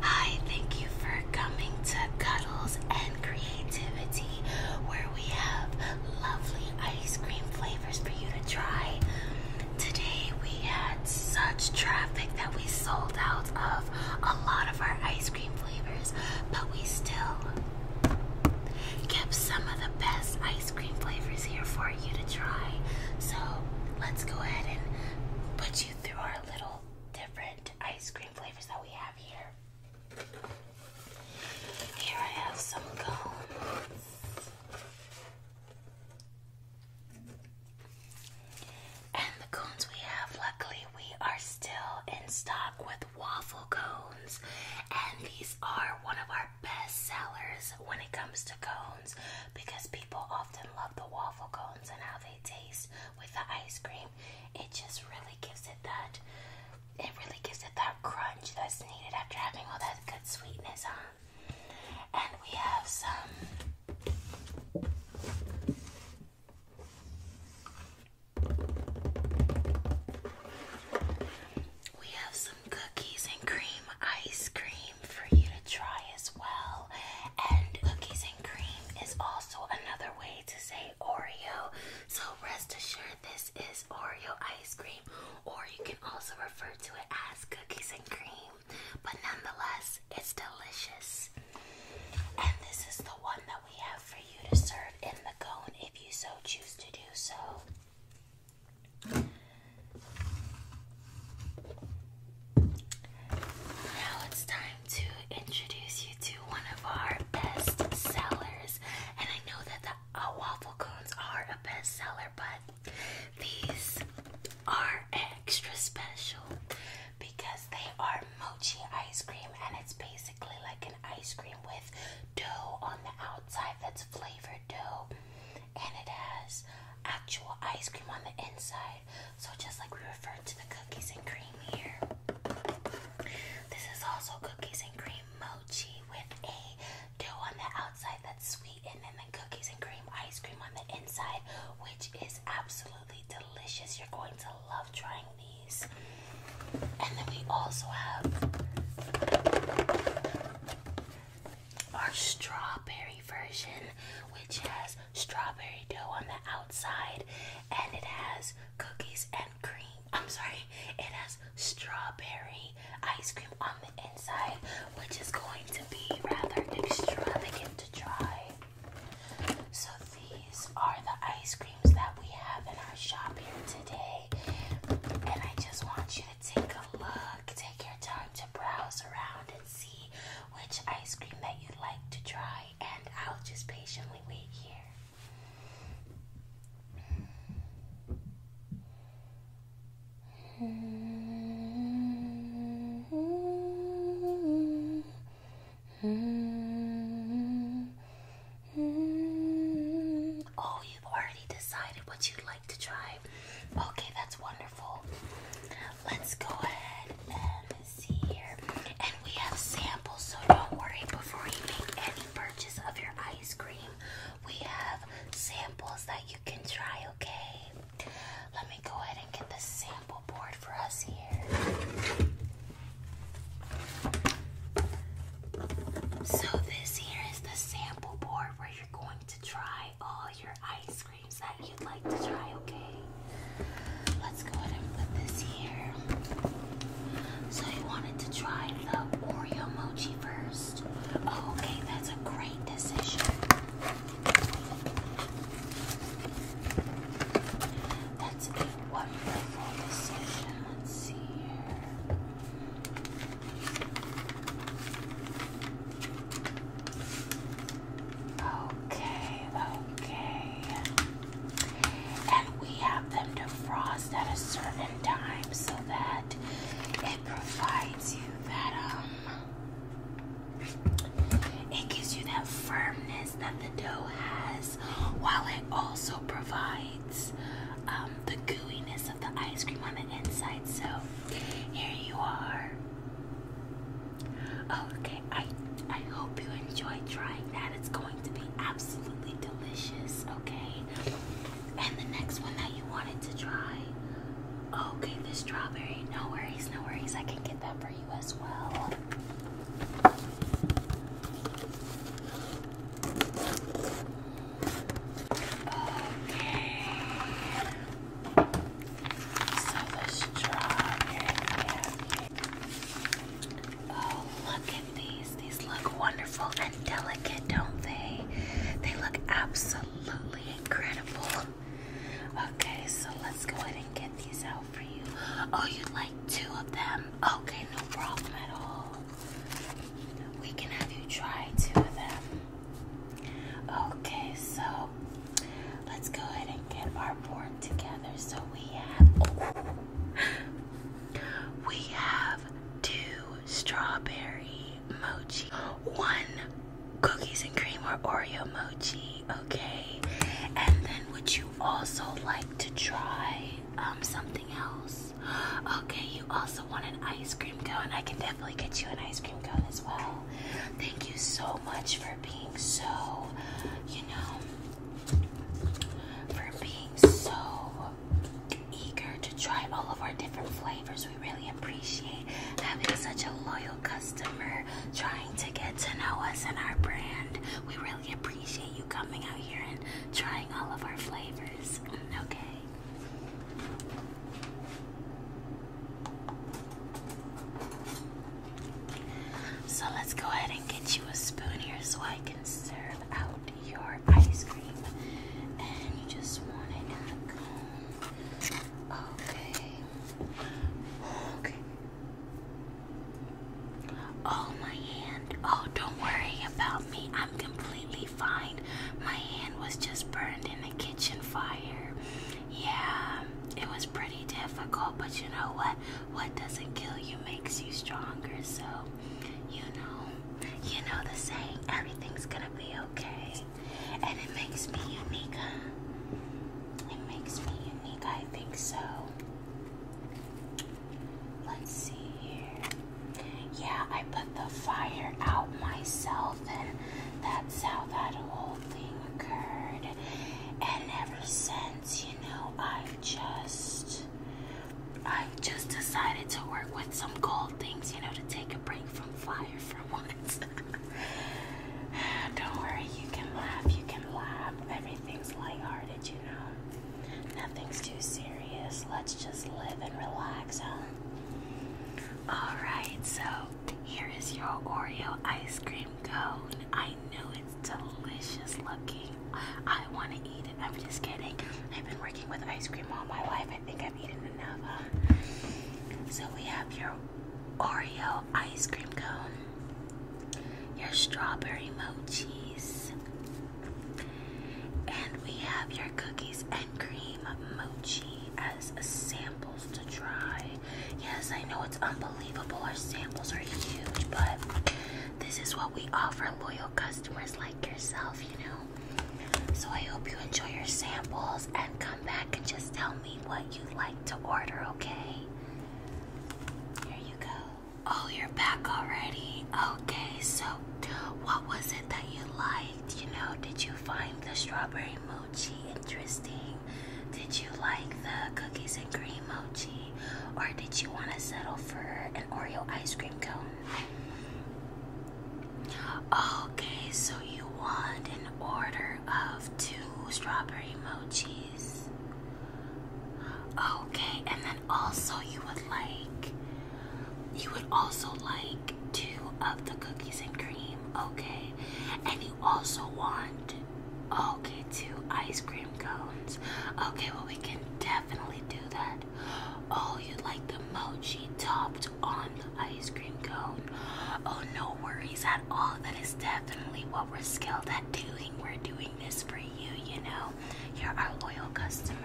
Hi, thank you for coming to Cuddles and Creativity, where we have lovely ice cream flavors for you to try. Today we had such traffic that we sold out of a lot of our ice cream flavors, but we still kept some of the best ice cream flavors here for you to try. So let's go ahead and put you through our little different ice cream flavors that we have here. Here I have some cones. And the cones we have, luckily, we are still in stock with waffle cones. And these are one of our best sellers when it comes to cones because people often love the waffle cones and how they taste with the ice cream. It just really gives it that. It really gives it that crunch that's needed after having all that good sweetness on. And we have some. We have some cookies and cream ice cream for you to try as well. And cookies and cream is also another way to say Oreo. So rest assured, this is Oreo ice cream, or you can also refer to it as cookies and cream. But nonetheless, it's delicious. And this is the one that we have for you to serve in the cone if you so choose to do so. Now it's time to introduce you to one of our best sellers. And I know that the uh, waffle cones are a bestseller, but these are extra special because they are mochi ice cream and it's basically like an ice cream with dough on the outside that's flavored dough and it has actual ice cream on the inside. So just like we refer to the cookies and cream here. This is also cookies and cream mochi with a dough on the outside that's sweet, and then the cookies and cream ice cream on the inside, which is absolutely delicious. You're going to love trying these. And then we also have our strawberry version, which has strawberry dough on the outside, and it has cookies and cream. I'm sorry, it has strawberry ice cream on the inside, which is going to be rather extravagant to try. So, these are the ice creams that we have in our shop here today, and I just want you to take a look, take your time to browse around see which ice cream that you'd like to try, and I'll just patiently wait here. Oh, you've already decided what you'd like to try. Okay, that's wonderful let's go ahead and see here. And we have samples, so don't worry before you make any purchase of your ice cream. We have samples that you can try, okay? Let me go ahead and get the sample board for us here. So, this here is the sample board where you're going to try all your ice that you'd like to try, okay? Let's go ahead and put this here. So you wanted to try the Oreo mochi first. Oh, okay, that's a great decision. That's a wonderful decision. Let's see here. Okay, okay. And we have them defrost at a certain time so that it provides you that, um, it gives you that firmness that the dough has while it also provides um, the gooiness of the ice cream on the inside. So here you are. Okay, I I hope you enjoy trying that. It's going to be absolutely delicious, okay? And the next one that you wanted to try. Okay, the strawberry. No worries, no worries. I can get that for you as well. Okay. So the strawberry. Oh, look at these. These look wonderful and delicate, don't they? They look absolutely incredible. Okay, so let's go ahead and get these out for you. Oh, you'd like two of them? Okay, no problem at all. We can have you try two of them. Okay, so let's go ahead and get our board together. So we have we have two strawberry mochi, one cookies and cream or Oreo mochi, okay? And then would you also like to try um, something else? Okay, you also want an ice cream cone. I can definitely get you an ice cream cone as well. Thank you so much for being so you know, for being so eager to try all of our different flavors. We really appreciate having such a loyal customer trying to get to know us and our brand. We really appreciate you coming out here and trying all of our flavors. Okay. So let's go ahead and get you a spoon here so I can serve out your ice cream. And you just want it in the Okay. Okay. Oh, my hand. Oh, don't worry about me. I'm completely fine. My hand was just burned in the kitchen fire. Yeah, it was pretty difficult, but you know what? what doesn't kill you makes you stronger. So, you know, you know the saying, everything's gonna be okay. And it makes me unique, It makes me unique, I think so. Let's see here. Yeah, I put the fire out myself, and that's how that whole thing occurred. And ever since, you know, I just I just decided to work with some cold things, you know, to take a break from fire for once. Don't worry, you can laugh, you can laugh. Everything's lighthearted, you know. Nothing's too serious. Let's just live and relax, huh? Alright, so here is your Oreo ice cream cone. I know it it's delicious looking. I want to eat it. I'm just kidding. I've been working with ice cream all my life. I think I've eaten enough. So we have your Oreo ice cream cone, your strawberry mochi, and we have your cookies and cream mochi as samples to try. Yes, I know it's unbelievable. Our samples are huge, but this is what we offer loyal customers like yourself, you know. So I hope you enjoy your samples and come back and just tell me what you'd like to order, okay? Here you go. Oh, you're back already. Okay, so what was it that you liked? You know, did you find the strawberry mochi interesting? Did you like the cookies and cream mochi? or did you want to settle for an Oreo ice cream cone? Okay, so you want an order of two strawberry mochis. Okay, and then also you would like, you would also like two of the cookies and cream. Okay, and also want, okay, two ice cream cones. Okay, well, we can definitely do that. Oh, you like the mochi topped on the ice cream cone. Oh, no worries at all. That is definitely what we're skilled at doing. We're doing this for you, you know. You're our loyal customer.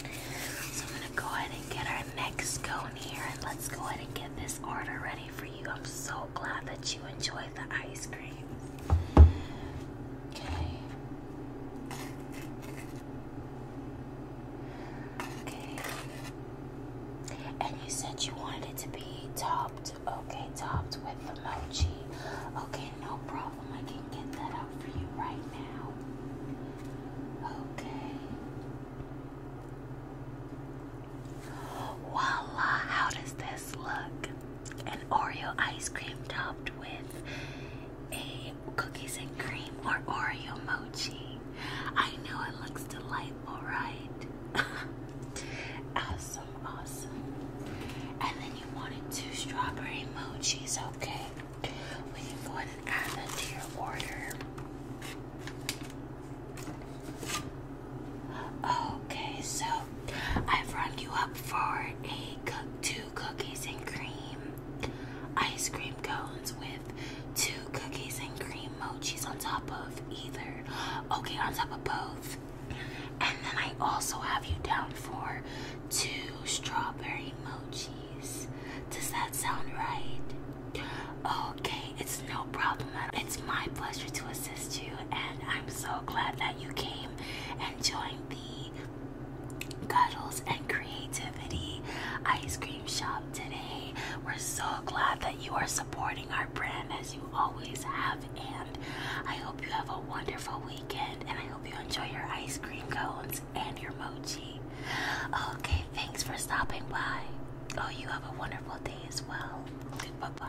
So I'm gonna go ahead and get our next cone here and let's go ahead and get this order ready for you. I'm so glad that you enjoyed the ice cream. Okay. Okay. And you said you wanted it to be topped. Okay, topped with the mochi. Okay, no problem. I can get that up for you right now. Okay. Voila, how does this look? An Oreo ice cream topped with a cookies and cream or Oreo mochi. I know it looks delightful, right? awesome, awesome. And then you wanted two strawberry mochis, okay? We can go ahead and add that to your order. Okay, so I've rung you up for a two cookies and cream ice cream cones with two cookies and cream mochis on top of either. Okay, on top of both. And then I also have you down for two strawberry mochis. Does that sound right? Okay, it's no problem at all. It's my pleasure to assist you, and I'm so glad that you came and joined the Cuddles and Creativity Ice Cream Shop today. We're so glad that you are supporting our brand as you always have, and I hope you have a wonderful weekend and I hope you enjoy your ice cream cones and your mochi. Okay, thanks for stopping by. Oh, you have a wonderful day as well. Bye bye.